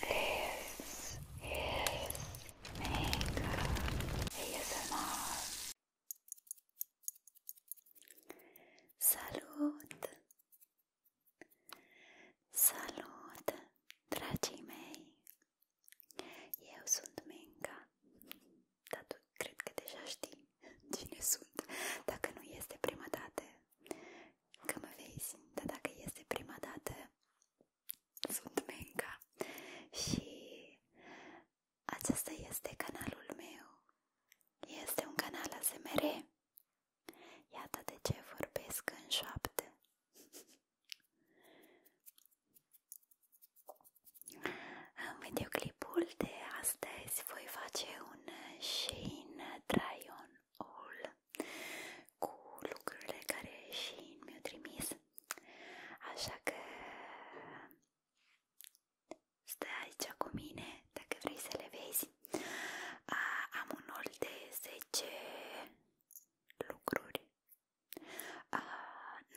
This is makeup ASMR. Salut! Salut, dragii mei! Eu sunt Menca, dar tu cred că deja știi cine sunt, dacă nu este prima dată că mă vezi, dar dacă este prima dată, sunt Menca și acesta este canalul meu. Este un canal ASMR. Iată de ce vorbesc în șoapte. În videoclipul de astăzi voi face un Shein Try On All cu lucrurile care și mi-au trimis. Așa că stai aici cu mine dacă vrei să le vezi. A, am un rol de 10 lucruri. A,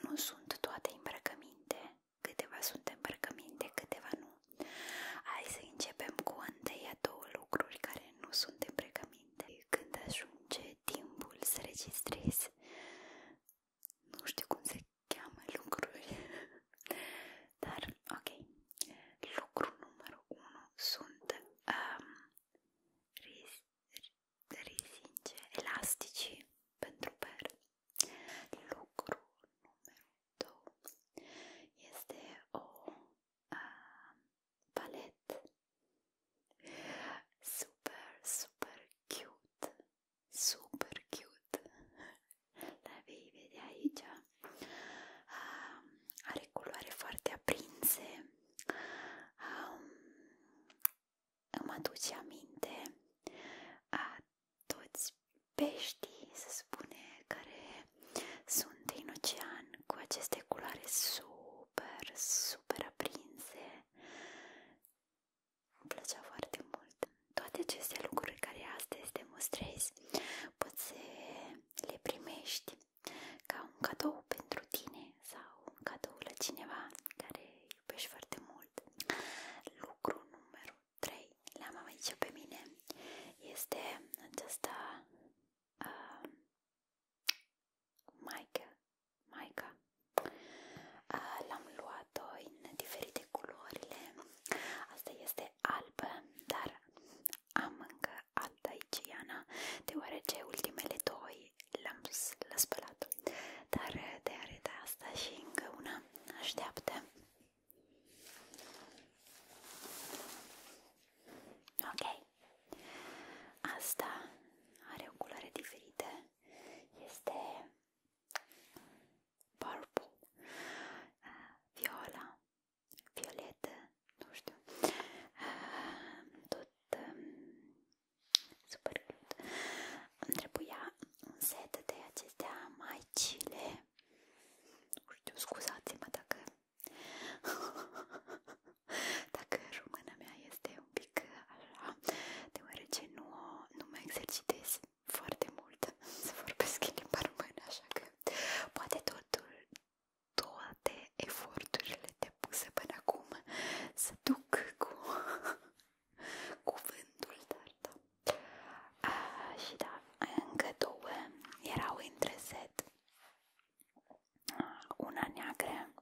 nu sunt toate îmbrăcăminte. Câteva sunt îmbrăcăminte, câteva nu. Hai să începem cu întâia două lucruri care nu sunt îmbrăcăminte înainte, când ajunge timpul să registrezi, nu știu cum se cheamă lucruri, dar ok, lucru numărul 1 sunt um, ris risinge elastici pentru per. Lucru numărul 2 este o um, palette. Super, super cute. Super cute. La vei vedea aici. Um, are culoare foarte aprinse. Um, îmi aduce aminte a toți peștii, se spune, care sunt în ocean cu aceste culoare super, super aprinse. Îmi plăcea foarte mult. Toate aceste lucruri care astăzi demonstrezi, poți să le primești ca un cadou pentru tine sau un cadou la cineva care iubești foarte mult. Lucru numărul 3, l-am aici pe mine, este aceasta uh, Maica, Maica. L-am luat uh, în diferite culorile. Asta este albă, dar am încă alta iciana, deoarece ultimele doi le-am spălat. Dar uh, de arăta asta și una așteaptă. Ok, Asta are o culoare diferită. Este purple, viola, violetă, nu știu. Tot um, super cute. Îmi trebuia un set de acestea mai cile. Nu știu, scuzați-mă dacă Dacă româna mea este un pic așa, deoarece nu, nu mă exercitez foarte mult să vorbesc în limba română, așa că poate totul, toate eforturile depuse până acum să duc cu cuvântul dar da. A, și da, încă două erau între set una neagră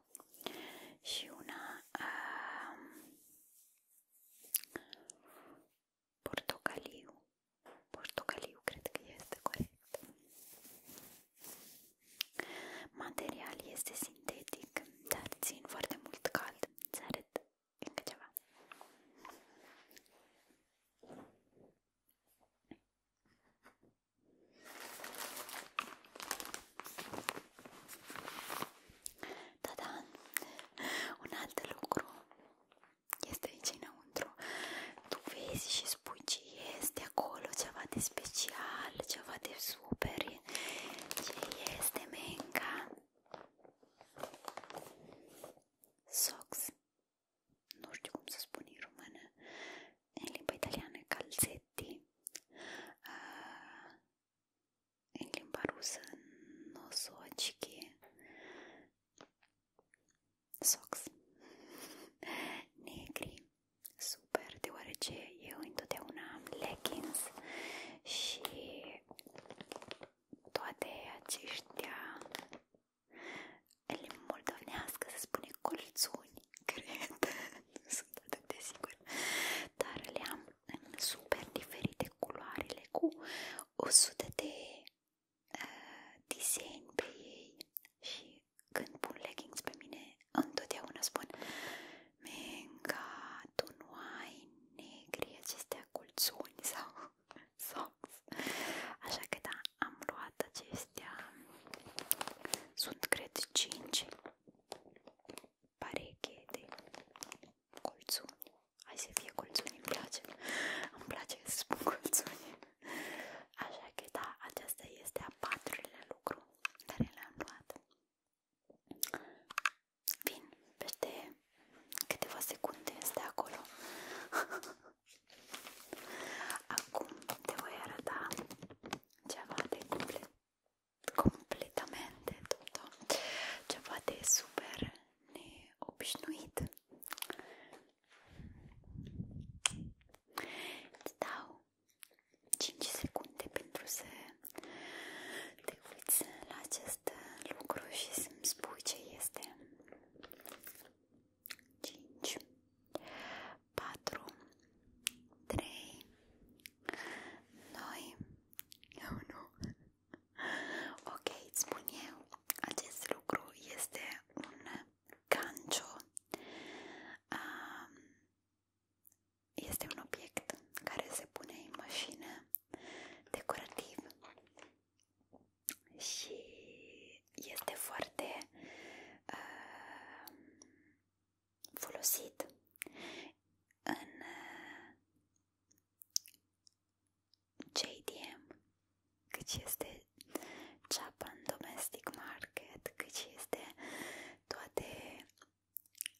și una um, portocaliu. Portocaliu cred că este corect. Material este sintetic, dar țin foarte mult cald. Îți arăt încă ceva. Da, da, un alt lucru este aici înăuntru. Tu vezi și spui ce este acolo, ceva de special, ceva de super. Ce este menca? Socks nu știu cum să spun în română, în limba italiană calzetti, în limba rusă nosocchi, socks, negri, super, deoarece eu întotdeauna am leggings și toate aceștia în limba moldovnească se spune colțuni, cred, nu sunt atât de sigur, dar le am în super diferite culoarele cu 100 de uh, design pe ei și când pun leggings pe mine întotdeauna spun Menga, tu nu ai negri acestea colțuni sau songs. Așa că da, am luat acestea. Sunt cred 5 pareche de colțuni. să fie colțuni, îmi place. Îmi place să spun colțuni. Așa că da, aceasta este a patrulea lucru care le-am luat. Vin peste câteva secunde este acolo Acum te voi arăta ceva de complet, completamente tutto, ceva de super neobișnuit. Îți dau 5 secunde pentru să te uiți la acest lucru și să-mi spui ce este. 5 4 3 2 1 Ok, îți spun eu, acest lucru este un gancio um, este un obiect care se pune în mașină decorativ și este foarte uh, folosit în uh, JDM, cât este Japan Domestic Market, cât este toate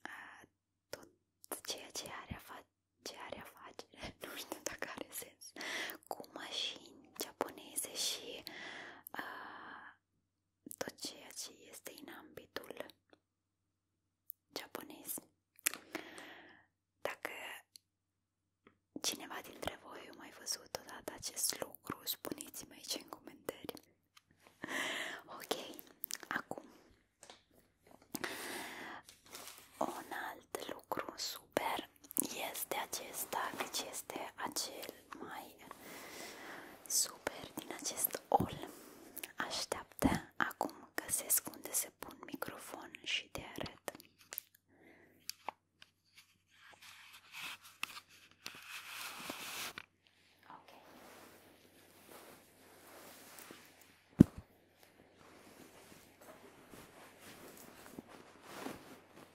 uh, tot ceea ce are, afa- ce are afacere, nu știu dacă are sens cu mașini japoneze și uh, tot ceea ce este în ambitul japonez. Dacă cineva dintre voi a mai văzut odată acest lucru, spuneți-mi aici în comentarii. Ok, acum un alt lucru super este acesta, deci este acel mai super din acest all. Așteaptă acum că se unde se pun microfon și te arăt.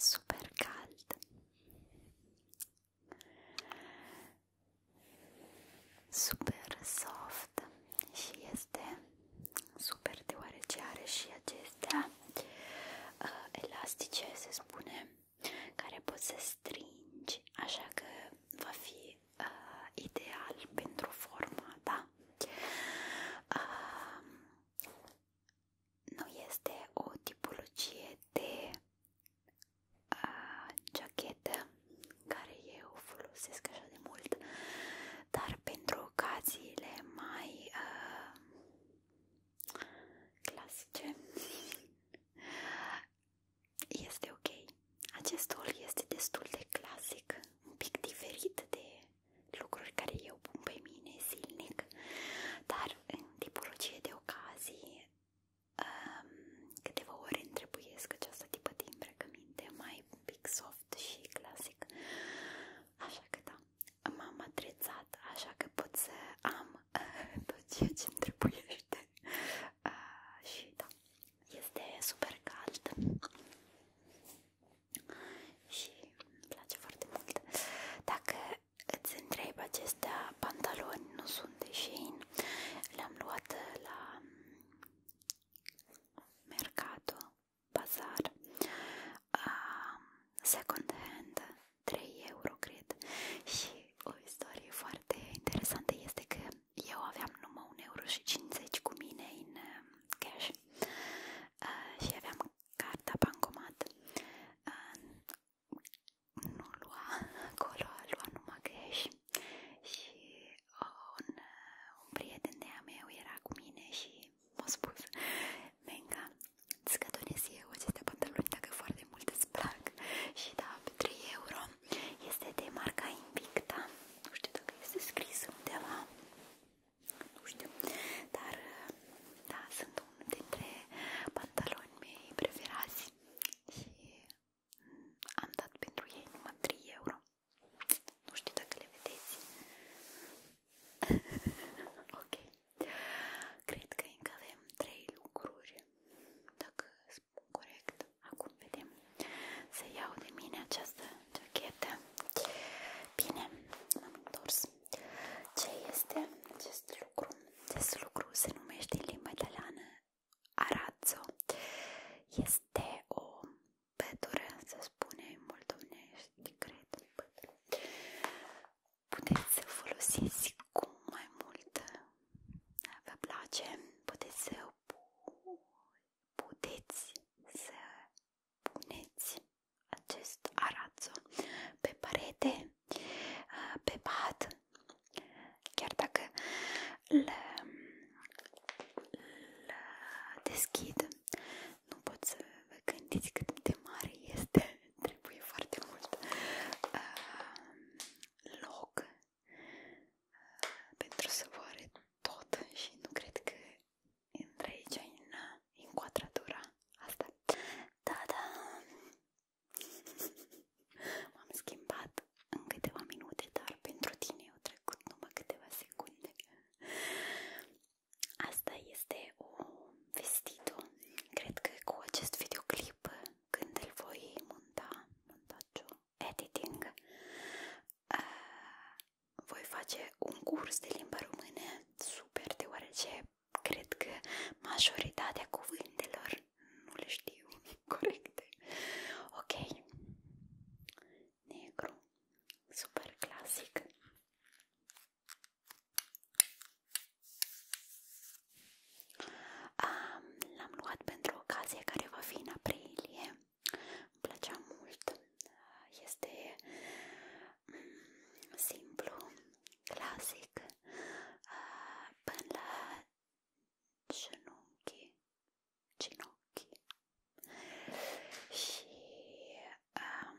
Super cald. Super soft și este super deoarece are și acestea uh, elastice, care poți să stringi, așa că va fi uh, ideal pentru forma, da? Uh, nu este o tipologie de uh, jachetă care eu folosesc așa de mult, dar pentru ocaziile mai uh, clasice este ok. Acest haul este destul de clasic, un pic diferit de lucruri care eu pun pe mine zilnic, dar în tipologie de ocazii um, câteva ori îmi trebuiesc această tipă de îmbrăcăminte mai un pic soft și clasic. Așa că da, m-am atrețat, așa că pot să am tot ceea ce îmi trebuiește uh, și da, este super cald și îmi place foarte mult. Dacă îți întreb acestea pantaloni nu sunt de Shein, le-am luat la Mercato, Bazar, uh, Second Hand 3 euro, cred. Și o istorie foarte interesantă este că eu aveam numai 1 euro și 50 cu mine în uh, cash uh, și aveam carta bancomat. Uh, nu lua acolo, lua numai cash și un, uh, un prieten de-a meu era cu mine și m-a spus Menga, îți eu aceste pantaloni dacă foarte de mult îți plac și da, pe 3 euro este de marca Invicta nu știu dacă este scris undeva nu știu dar da, sunt unul dintre pantaloni mei preferați și mm, am dat pentru ei numai 3 euro nu știu dacă le vedeți ok cred că încă avem 3 lucruri dacă spun corect, acum vedem, să iau de mine această jachetă. Bine, m-am întors. Ce este acest lucru? Acest lucru se numește în limba italiană arazzo. Este o pătură, să spune, mult omnești, cred, pătură puteți să folosiți cu mai mult vă place, puteți să puteți să puneți acest arazzo pe parete, uh, pe pat, chiar dacă îl deschid, nu pot să vă gândiți cât de mare este, trebuie foarte mult uh, loc uh, pentru să vă arăt tot și nu cred că intră aici în, uh, în quadratura asta. Da, da. M-am schimbat în câteva minute, dar pentru tine au trecut numai câteva secunde. Asta este o vestită. Cred că cu acest videoclip uh, când îl voi monta, montajul, editing, uh, voi face un curs de limba română super, deoarece cred că majoritatea cuvântelor nu le știu corecte. Ok. Negru. Super clasic. L-am luat pentru ocazie care va fi în aprilie. Îmi plăcea mult. Este mm, simplu, clasic, până la genunchi, ginocchi. Și um,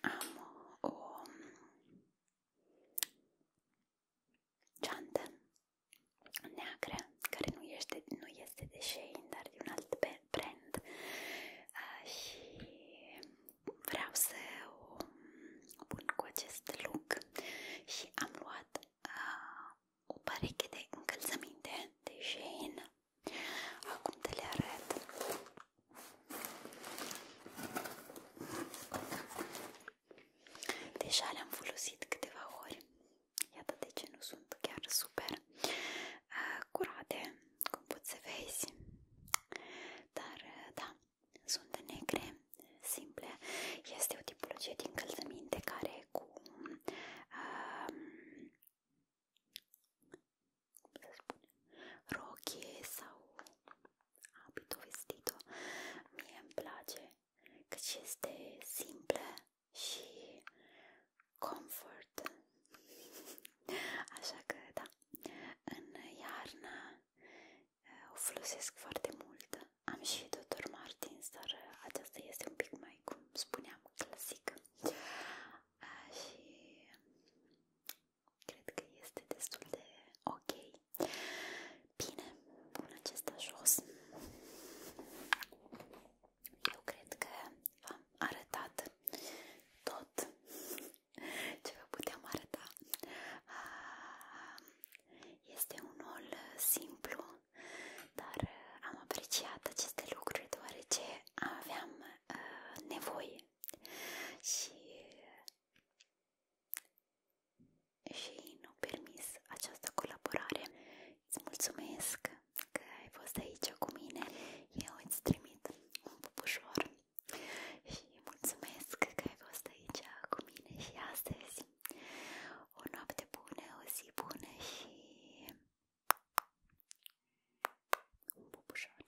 am o ceantă neagră, care nu este, nu este de Shein, dar de un alt brand uh, și vreau să o pun cu acest look și am luat uh, o pereche de încălțăminte de Shein acum te le arăt Deja le-am folosit câteva ori, iată de ce nu sunt chiar super curate, cum poți să vezi, dar da, sunt negre, simple, este o tipologie de încălțăminte care cu uh, cum să spun, rochie sau abitul, vestitul, mie îmi place căci este simplă și comfort. Așa că, da, în iarnă uh, o folosesc foarte mult. Am și Dr. Martins, dar uh, aceasta este un pic mai, cum spuneam, clasic. Uh, și cred că este destul de ok Bine, pun acesta jos. Eu cred că v-am arătat tot ce vă puteam arăta. Ah, este unul simplu, dar am apreciat aceste lucruri deoarece aveam uh, nevoie și și nu permis această colaborare. Îți mulțumesc că ai fost aici cu mine. Eu îți trimit un pupușor și mulțumesc că ai fost aici cu mine și astăzi. O noapte bună, o zi bună și un pupușor.